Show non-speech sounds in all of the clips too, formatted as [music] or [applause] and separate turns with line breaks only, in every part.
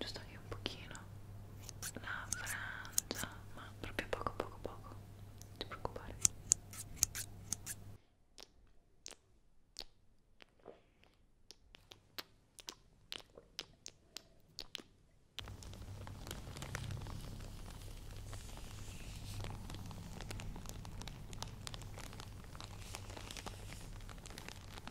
giusto che un pochino la frangia ma proprio poco poco poco non ti preoccupare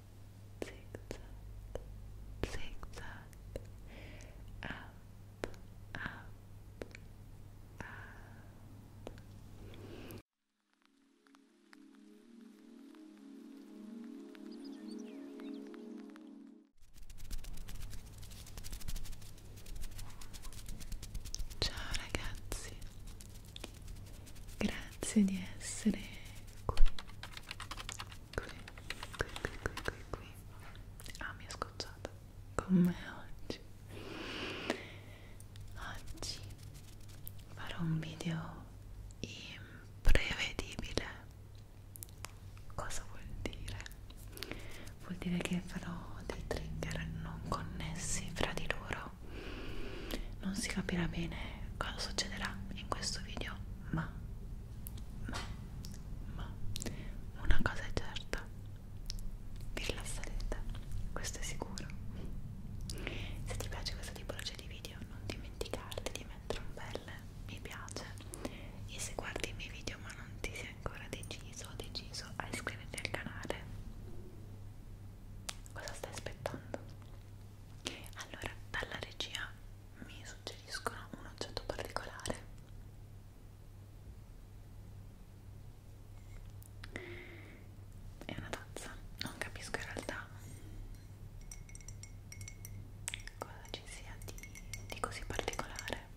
zigzag, zigzag, up, up, up. Ciao ragazzi, grazie di essere qui qui, qui, qui, qui, qui, qui. Ah, mi è scocciata con me oggi. Oggi farò un video imprevedibile. Cosa vuol dire? Vuol dire che farò dei trigger non connessi fra di loro. Non si capirà bene cosa succederà in questo video ma, ma, ma una cosa è certa, vi rilasserete, questo è sicuro. Se ti piace questa tipologia di video non dimenticarti di mettere un bel mi piace e se guardi i miei video ma non ti sei ancora deciso o deciso a iscriverti al canale, cosa stai aspettando? Allora, dalla regia mi suggeriscono un oggetto particolare è una tazza non capisco in realtà cosa ci sia di, di così particolare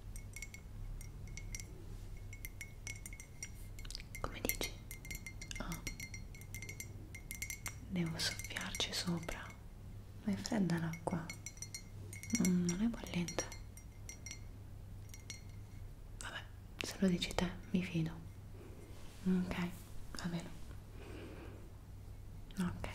come dici? Oh. devo soffiarci sopra ma è fredda l'acqua non, non è bollente vabbè se lo dici te mi fido ok va bene ok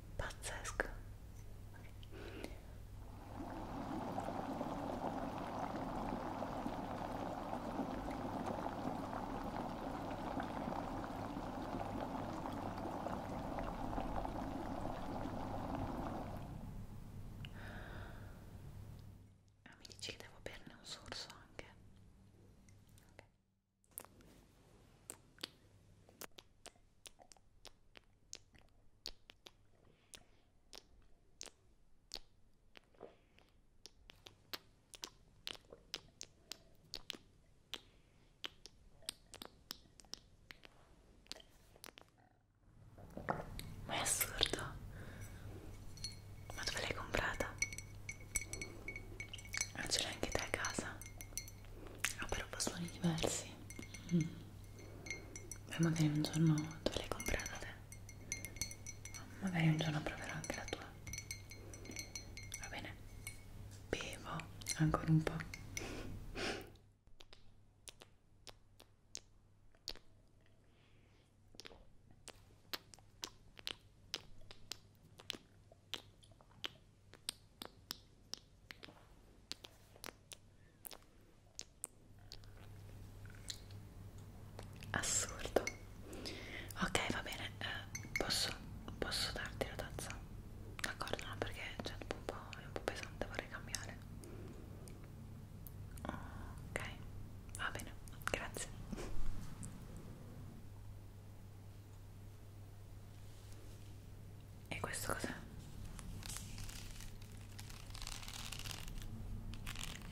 pazzesco ah, mi dici che devo berne un sorso anche? Okay. Ma è assurdo. Ma dove l'hai comprata? Non ce l'hai anche te a casa? ha proprio suoni diversi mm. beh magari un giorno tu l'hai comprata te magari un giorno proverò anche la tua va bene bevo ancora un po' assurdo ok va bene eh, posso, posso darti la tazza d'accordo no perché cioè, è, un po', è un po' pesante vorrei cambiare ok va bene grazie e questo cos'è? È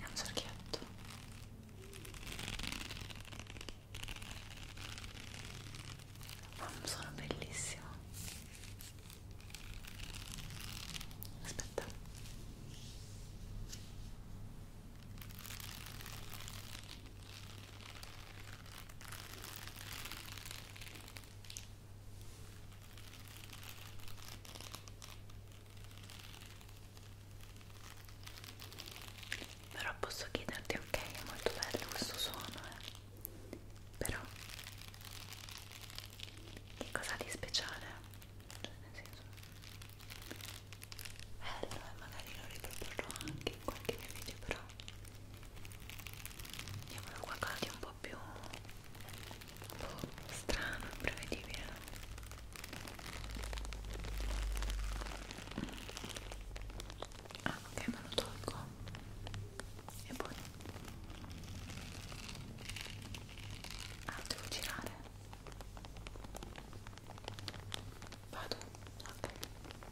un cerchietto. Ma un suono bellissimo. Aspetta. Però posso chiederti, ok, è molto bello questo suono, eh. Però che cosa ha di speciale? Cioè nel senso. Bello, e eh, magari lo riproporrò anche in qualche mio video, però Andiamo da qualcosa di un po' più un po' strano, imprevedibile. Ah, ok, me lo tolgo. E poi... Ah, devo girare. Vado? Ok.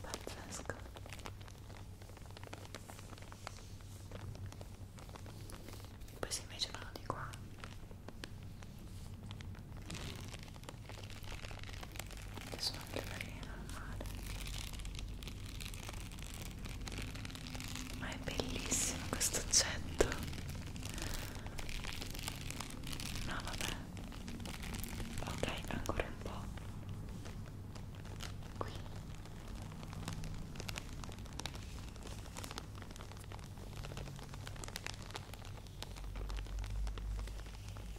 Pazzesco. Poi si invece vanno di qua che sono anche carine al mare ma è bellissimo questo oggetto no vabbè ok ancora un po' qui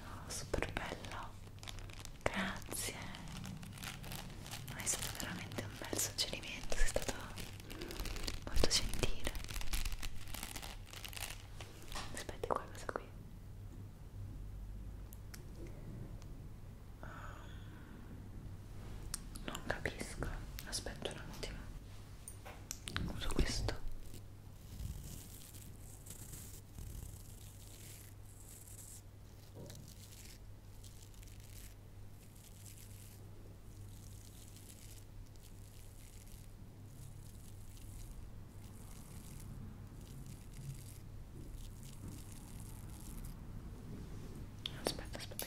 Oh, super bello, grazie. Ma è stato veramente un bel suggerimento, sei stato molto gentile. Aspetta qualcosa qui. Um, non capisco aspetta un attimo uso questo aspetta aspetta aspetta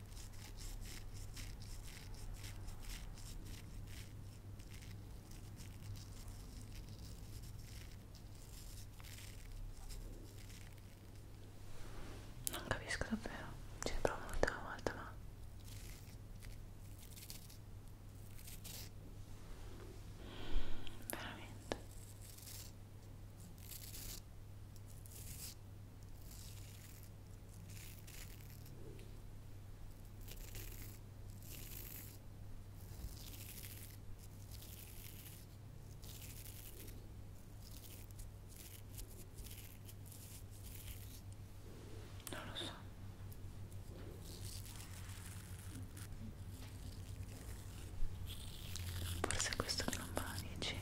Non capisco davvero, ci provo un'ultima volta ma veramente non lo so. Forse è questo che non va, dici?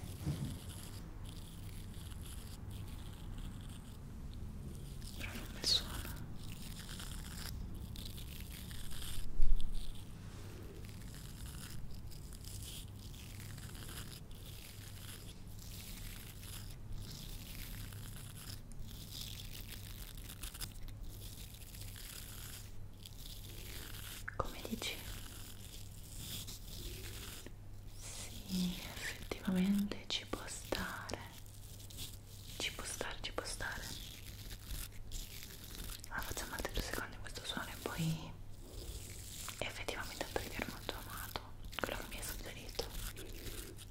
però non mi suona come dici? Sì, effettivamente ci può stare. Ci può stare, ci può stare. Allora facciamo altri due secondi questo suono e poi effettivamente il trigger molto amato, quello che mi hai suggerito.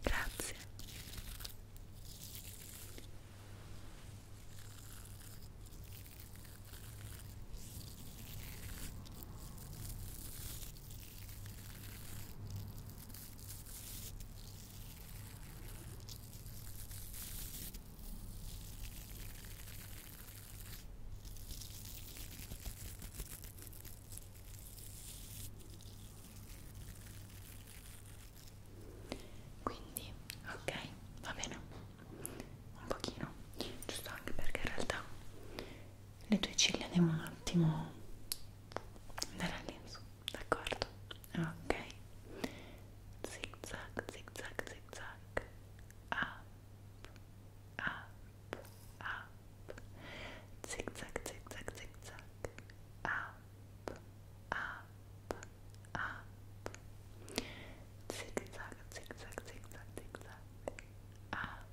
Grazie. Quindi, ok, va bene. Un pochino, giusto anche perché in realtà le tue ciglia devono un attimo andare lì in su, d'accordo? Ok, zig zag, zig zag, zig zag, up, up, up, zig zag, zig zag, zig zag, up, up, up, zig zag, zig zag, zig zag, zig zag, up.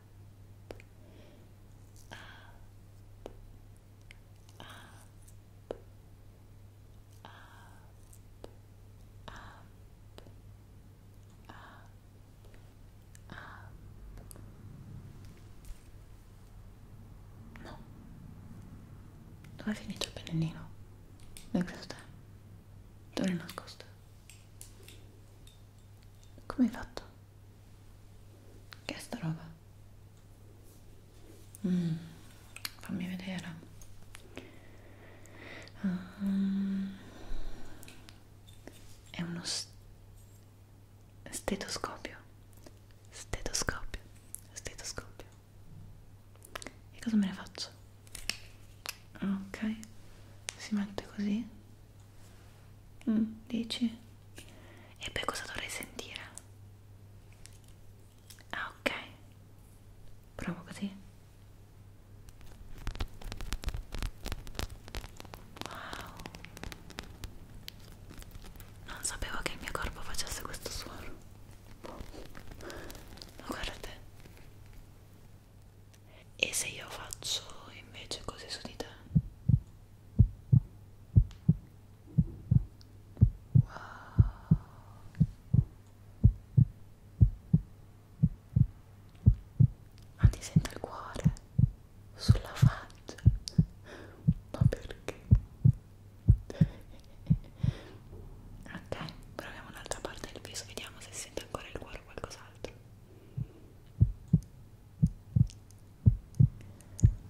up, up, up, up, up, up. No. Dove è finito il pennellino? Dove è Dove è nascosto? Come hai fatto? Che è sta roba? Mm, fammi vedere. Um, è uno st stetoscopio. Stetoscopio. Stetoscopio. E cosa me ne faccio? Ok, si mette così Mm, dici? E poi cosa dovrei sentire? Ah, ok. Provo così. Wow. Non sapevo che il mio corpo facesse questo suono. Oh, guarda te. E se io faccio invece così su di te? Wow. Ma ti sento il cuore sulla faccia? Ma perché? ok, proviamo un'altra parte del viso, vediamo se sente ancora il cuore o qualcos'altro.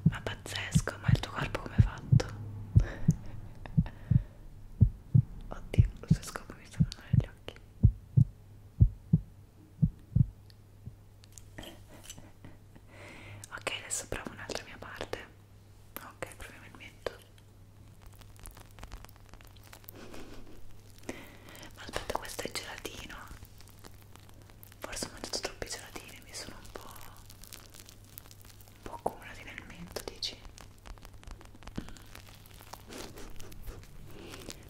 Ma pazzesco, ma il tuo corpo come è fatto? [laughs] Oddio, lo stesso scopo mi sta andando negli occhi. ok, adesso provo un'altra mia parte. Ok, proviamo il mento. Ma aspetta, questo è gelatino. Forse ho mangiato troppi gelatini, mi sono un po'... un po' accumulati nel mento, dici?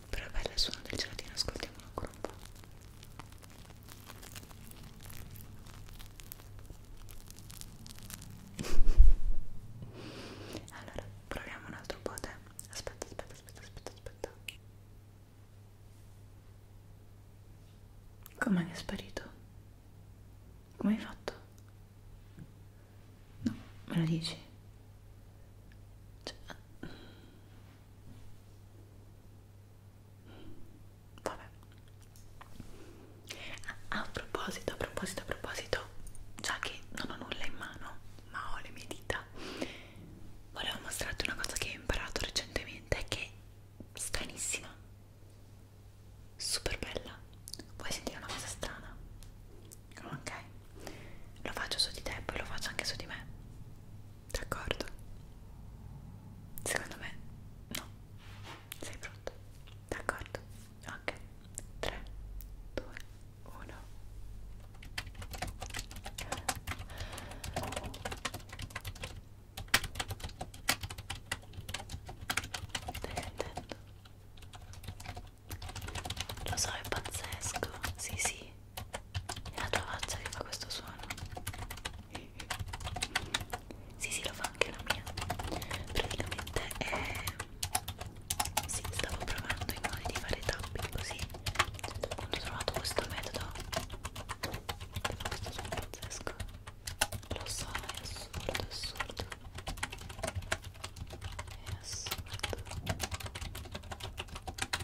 Però è bello il suono del gelatino, ascoltiamolo ancora un po'. allora, proviamo un altro po' te. Aspetta, aspetta, aspetta, aspetta, aspetta. Com'è che è sparito? Come hai fatto? No, me lo dici? Cioè... Vabbè. Ah, a proposito, a proposito, a proposito, già che non ho nulla in mano, ma ho le mie dita volevo mostrarti una cosa che ho imparato recentemente che è stranissima super bella vuoi sentire una cosa strana? ok lo faccio su di te e poi lo faccio anche su di me d'accordo? secondo me no sei pronto? d'accordo? ok 3 2 uno stai sentendo? lo so è pazzesco sì sì è la tua faccia che fa questo suono sì sì lo fa anche la mia praticamente è sì, stavo provando i modi di fare tapping così quando ho trovato questo metodo però questo sono pazzesco lo so è assurdo è assurdo è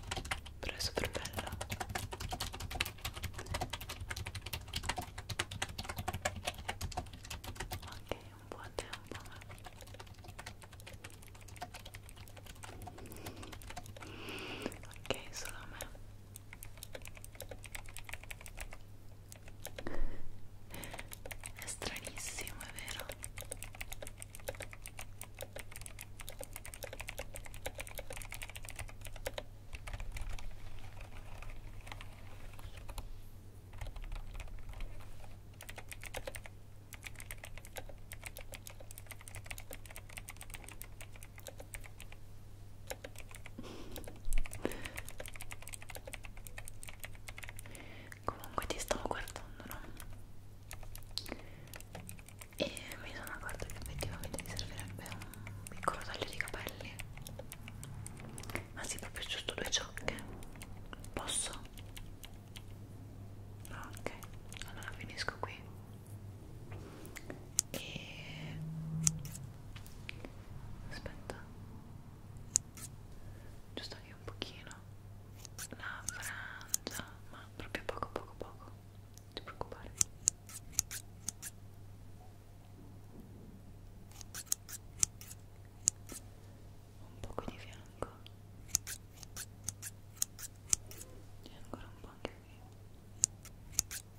assurdo però è super bello ok un buon tempo ok solo a me è stranissimo è vero Comunque ti stavo guardando, no? E mi sono accorta che effettivamente ti servirebbe un piccolo taglio di capelli. Ma sì, proprio giusto due ciocche. Posso? ok allora finisco qui e aspetta giusto che un pochino la frangia ma proprio poco poco poco non ti preoccupare un po' qui di fianco e ancora un po' anche qui ok ancora qui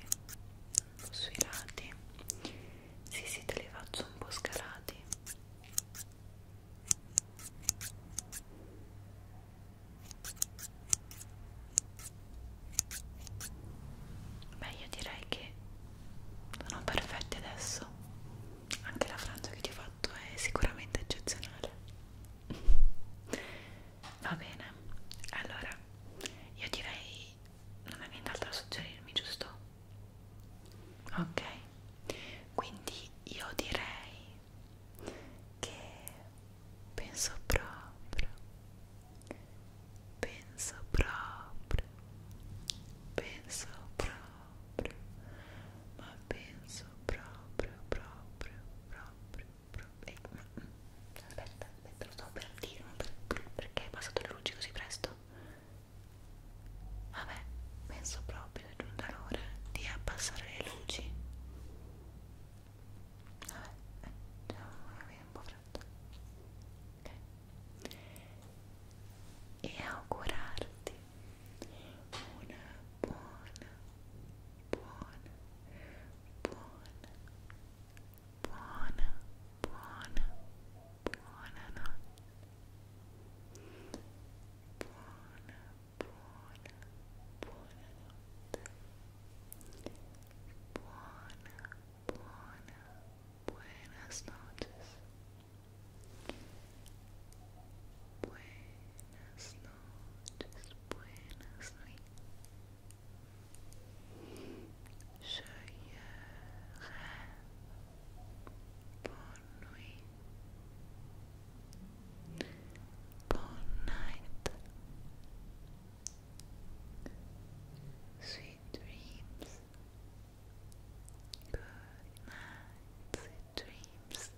un po' sui lati sì sì te li faccio un po' scalati Beh, io direi che sono perfetti adesso. Anche la frangia che ti ho fatto è sicuramente eccezionale. [laughs] Va bene, allora io direi non hai nient'altro da suggerirmi, giusto? ok quindi io direi che penso proprio penso proprio penso proprio ma penso proprio proprio proprio proprio eh, aspetta aspetta lo sto per dire per, perché è passato le luci così presto Vabbè, penso proprio è giunta l'ora di abbassare le luci. Vabbè, eh, c'è un po' freddo. Ok. E augurarti una buona, buona, buona, buona, buona, buona notte. buona, buona, buonanotte buona, buona, buenas noches buenas noches, buenas nuits je Buon nuit. Buon night. Sweet dreams. Good night. Sweet dreams.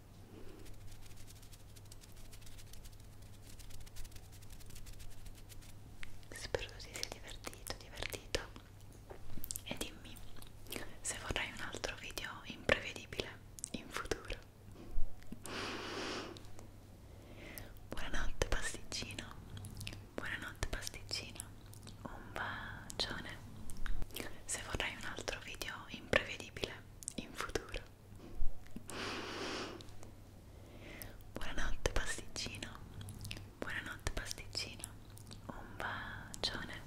Spero si sia divertito, divertito e dimmi se vorrai un altro video imprevedibile in futuro buonanotte pasticcino buonanotte pasticcino un bacione se vorrai un altro video imprevedibile in futuro buonanotte pasticcino Buonanotte pasticcina, un bacione.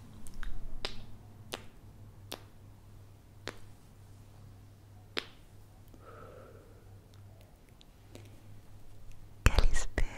Che li spera.